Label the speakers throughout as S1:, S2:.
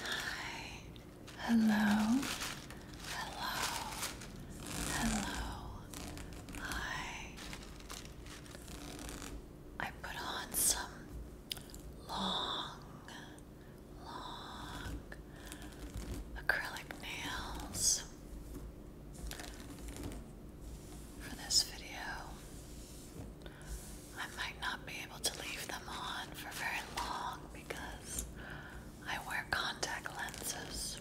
S1: Hi. Hello. Hello. Hello. Hi. I put on some long, long acrylic nails for this video. I might not be able to leave them on for very long because I wear contact lenses.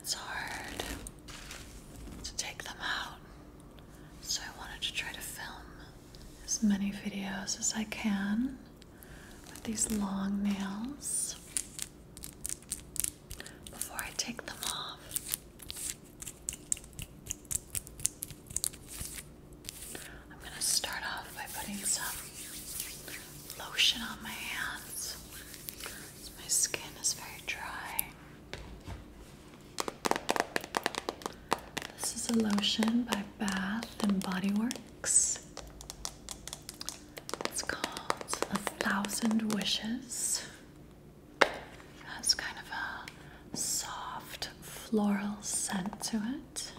S1: It's hard to take them out, so I wanted to try to film as many videos as I can with these long nails before I take them off. I'm going to start off by putting some lotion on my hands. My skin is very dry. This is a lotion by Bath and Body Works. It's called A Thousand Wishes has kind of a soft floral scent to it.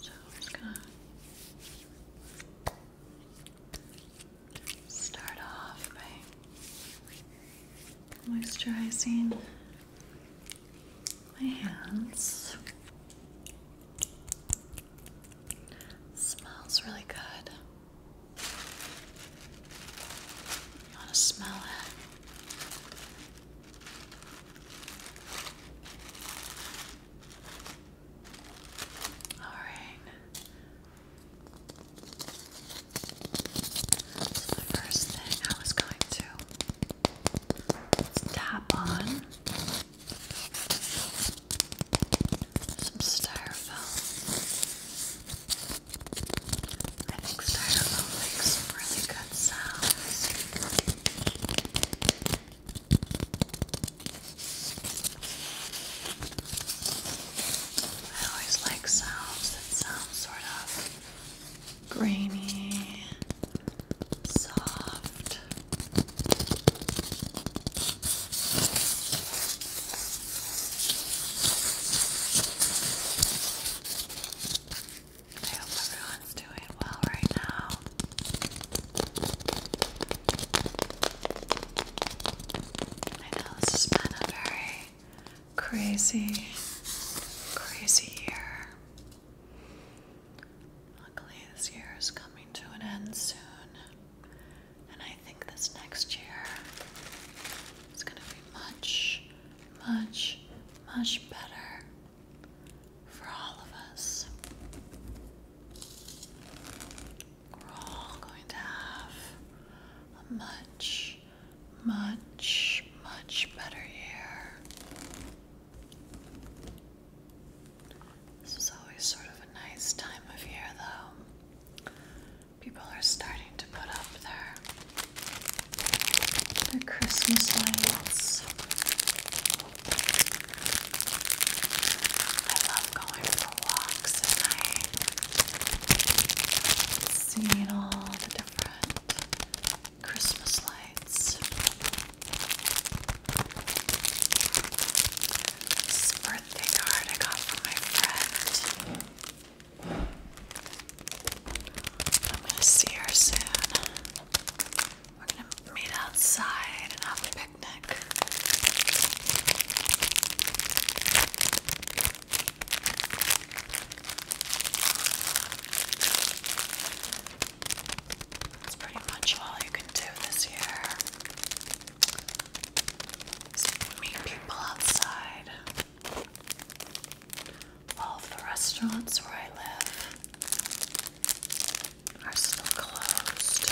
S1: So I'm gonna start off by moisturizing my hands. Smells really good. want to smell it? All right. the first thing I was going to tap on some styrofoam. I think styrofoam makes really good sounds. I always like sounds that sound sort of grainy soft. I hope everyone's doing well right now. I know this has been a very crazy, crazy year. Luckily, this year is coming to an end soon, and I think this next year is going to be much, much, much better for all of us. We're all going to have a much, much, much better year. This is always sort of a nice time of year, though. People are starting to put up their Christmas lights. I love going for walks at night, seeing all the different Christmas lights. birthday card I got from my friend. I'm gonna see her soon. We're gonna meet outside and have a picnic. That's pretty much all you can do this year. meet people outside. All the restaurants where I live are still closed.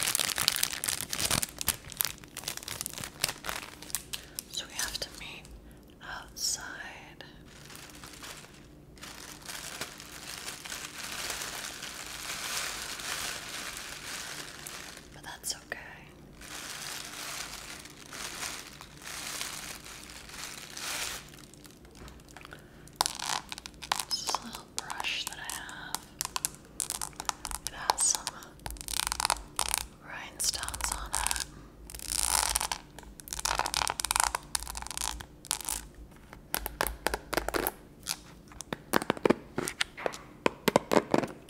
S1: So we have to meet outside. But that's okay. This little brush that I have. It has some rhinestones on it. Do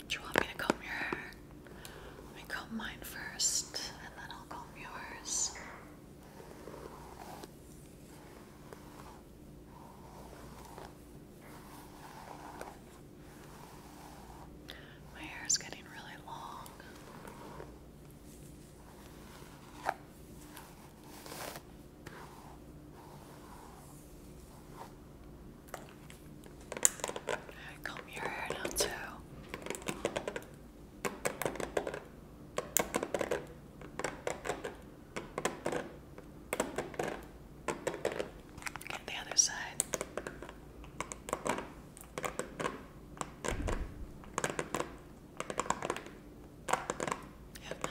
S1: you want me to comb your hair? Let me comb mine first, and then I'll comb yours. My hair is getting really long comb your hair now too. Get the other side. You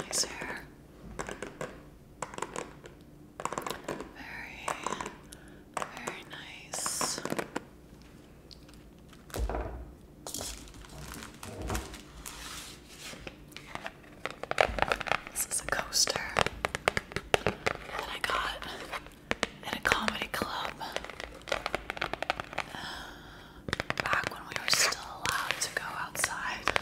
S1: nice hair. Very, very nice. This is a coaster that I got at a comedy club uh, back when we were still allowed to go outside.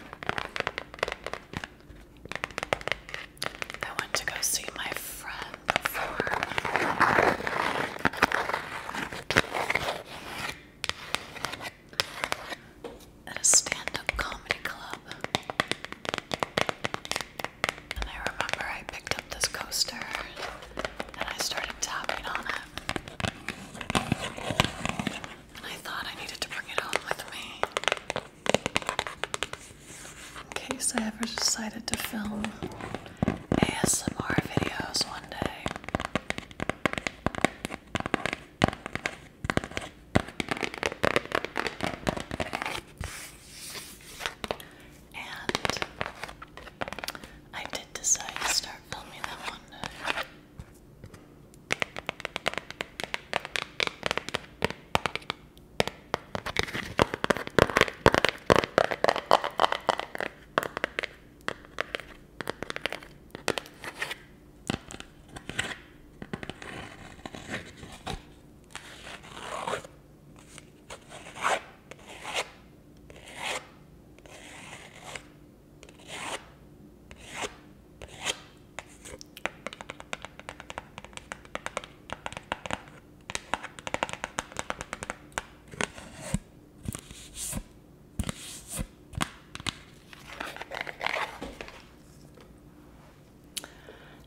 S1: I went to go see my friend perform. a stand up comedy club. And I remember I picked up this coaster and I started tapping on it. And I thought I needed to bring it home with me in case I ever decided to film ASMR videos one day. And I did decide to start filming that one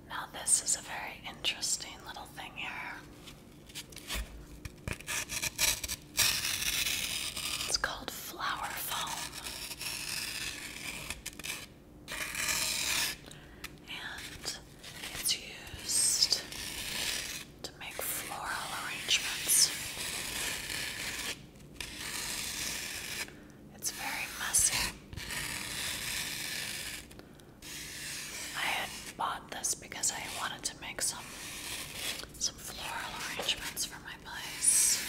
S1: now, this is a very interesting little thing here. It's called flower foam. And it's used to make floral arrangements. It's very messy. I had bought this because I wanted to make some some floral arrangements for my place.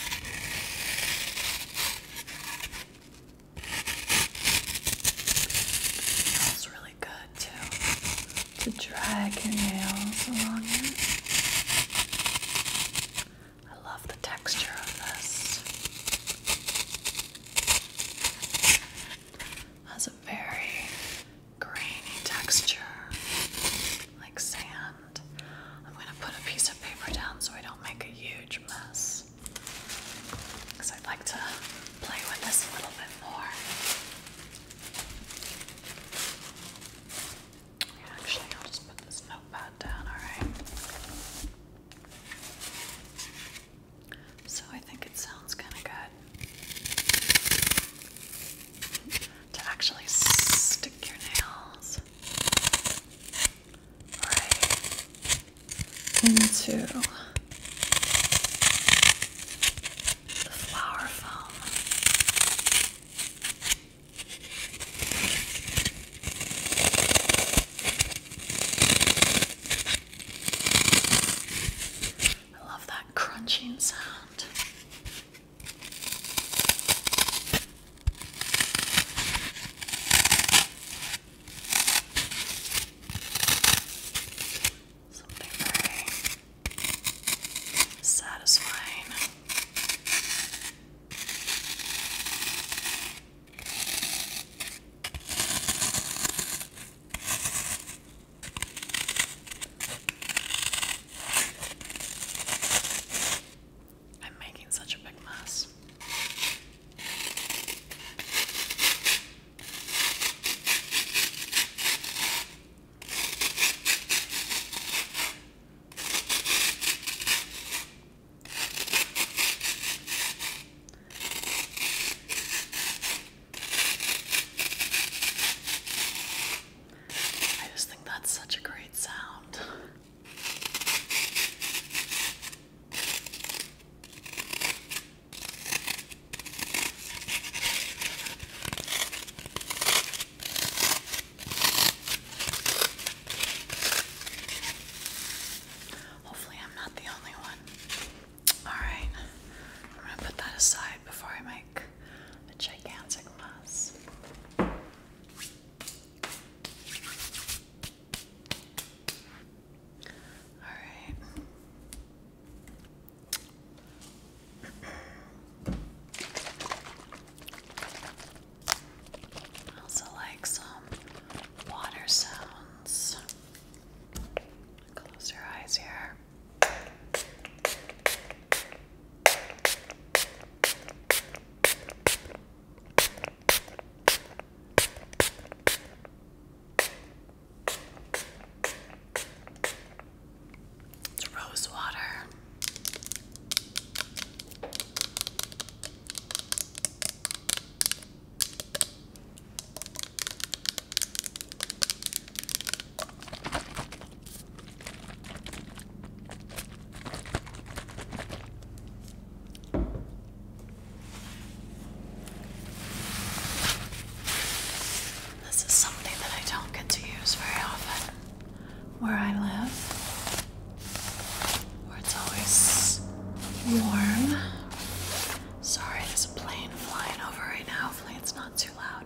S1: It really good too. To drag your nails along it. I love the texture of this has a very grainy texture, like sand. I'm going to put a piece of paper down so I don't make a huge mess. Because I'd like to play with this a little bit more. Actually, I'll just put this notepad down, alright? So I think it sounds kind of good to actually stick your nails right into the flower foam. I love that crunching sound. Something satisfying. I'm making such a big mess. I just think that's such a great sound. Hopefully, I'm not the only one. Alright, I'm gonna put that aside before I make a gigantic mess. Alright. I also like some water sounds. Close your eyes here. It's rose water. This is something that I don't get to use very often where I live where it's always warm. Sorry, there's a plane flying over right now. Hopefully, it's not too loud.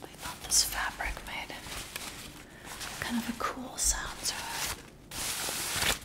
S1: I thought this fabric made kind of a cool sound to it.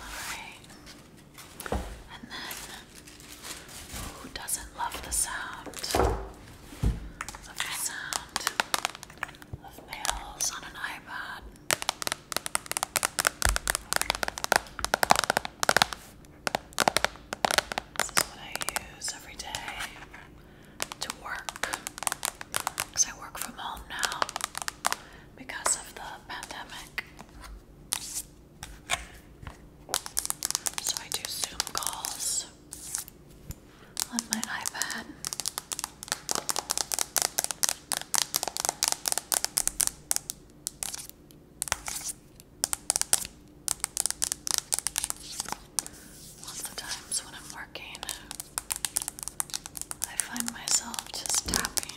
S1: Alright. And then, who doesn't love the sound? the sound of nails on an iPad. This is what I use every day to work because I work from home now because of the pandemic. So I do Zoom calls on my iPad. Lots of times when I'm working, I find myself just tapping,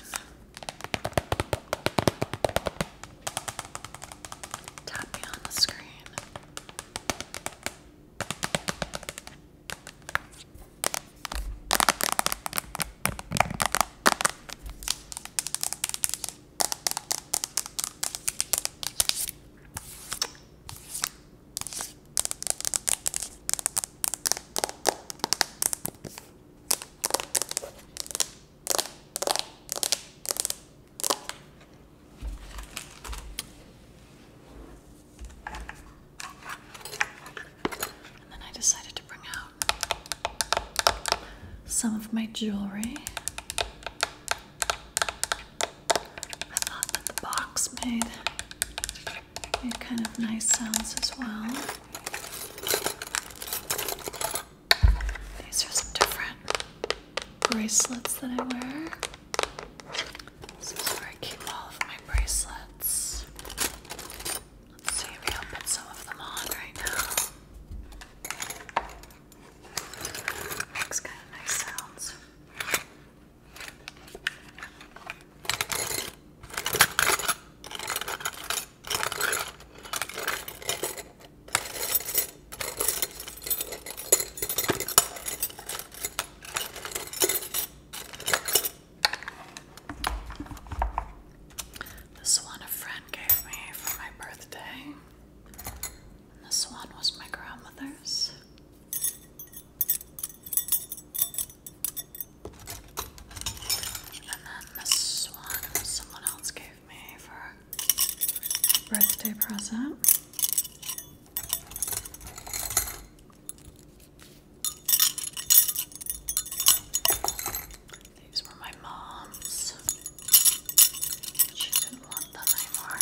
S1: tapping on the screen. And then I decided to bring out some of my jewelry. I thought that the box made, kind of nice sounds as well. These are some different bracelets that I wear. This is where I keep all of my bracelets. Let's see if we open some of them on right now. Makes kind of nice sounds. This one a friend gave me for my birthday. this one was my grandmother's. And then this one someone else gave me for birthday present. These were my mom's. She didn't want them anymore.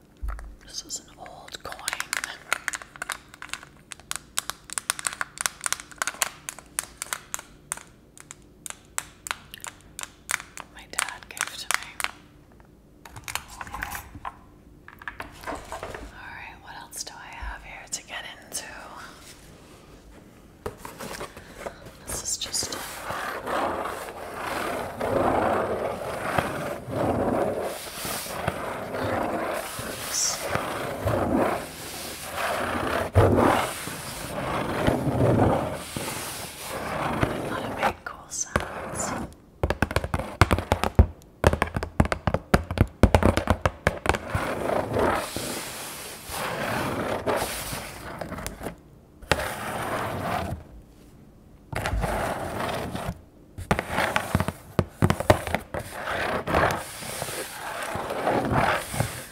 S1: This is an old coin. My dad gave to me. Alright, what else do I have here to get into? This is just a lot of big cool sounds.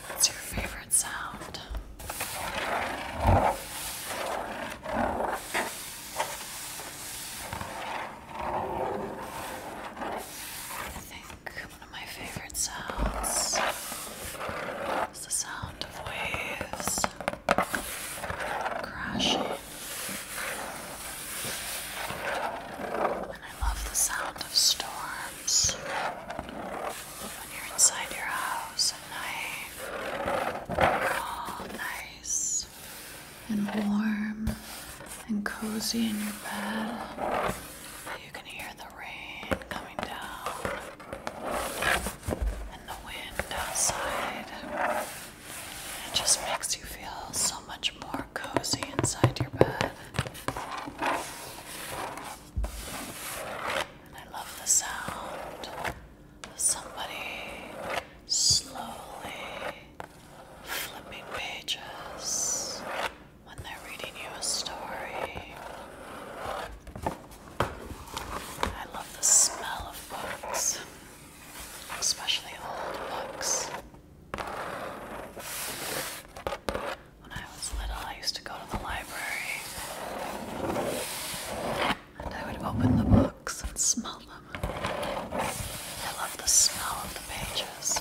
S1: What's your favorite sound? I think one of my favorite sounds is the sound of waves crashing. And I love the sound of storms when you're inside your house at night. All oh, nice and warm and cozy in your bed. You can hear the rain coming down and the wind outside. It just makes you feel so much more cozy inside your bed. I love the sound of somebody slowly flipping pages when they're reading you a story. I love the smell of books, especially old books. When I was little, I used to go to the library and I would open the books and smell them. I love the smell of the pages.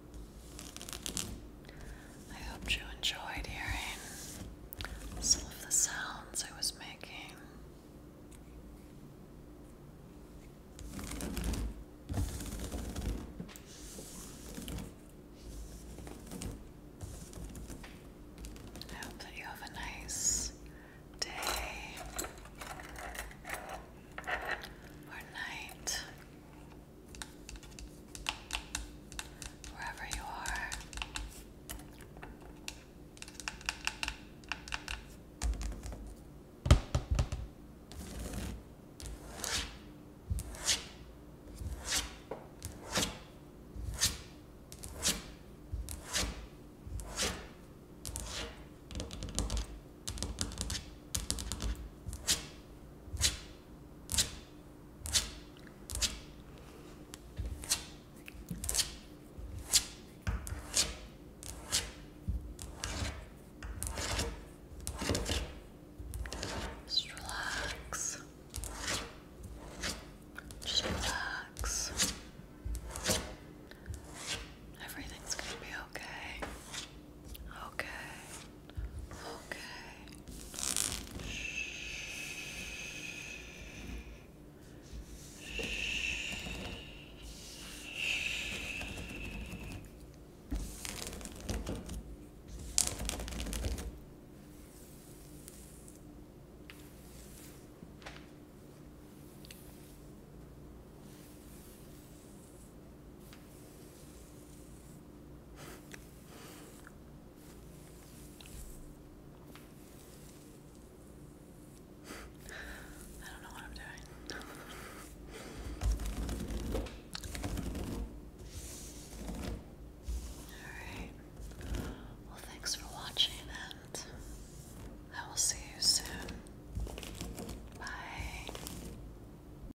S1: I hope you enjoyed hearing some of the sounds I was making. I hope that you have a nice day or night wherever you are. Just relax. Just relax. Everything's gonna be okay. Okay. Okay. Shh. I don't know what I'm doing. Alright. Well, thanks for watching, and I will see you soon. Bye.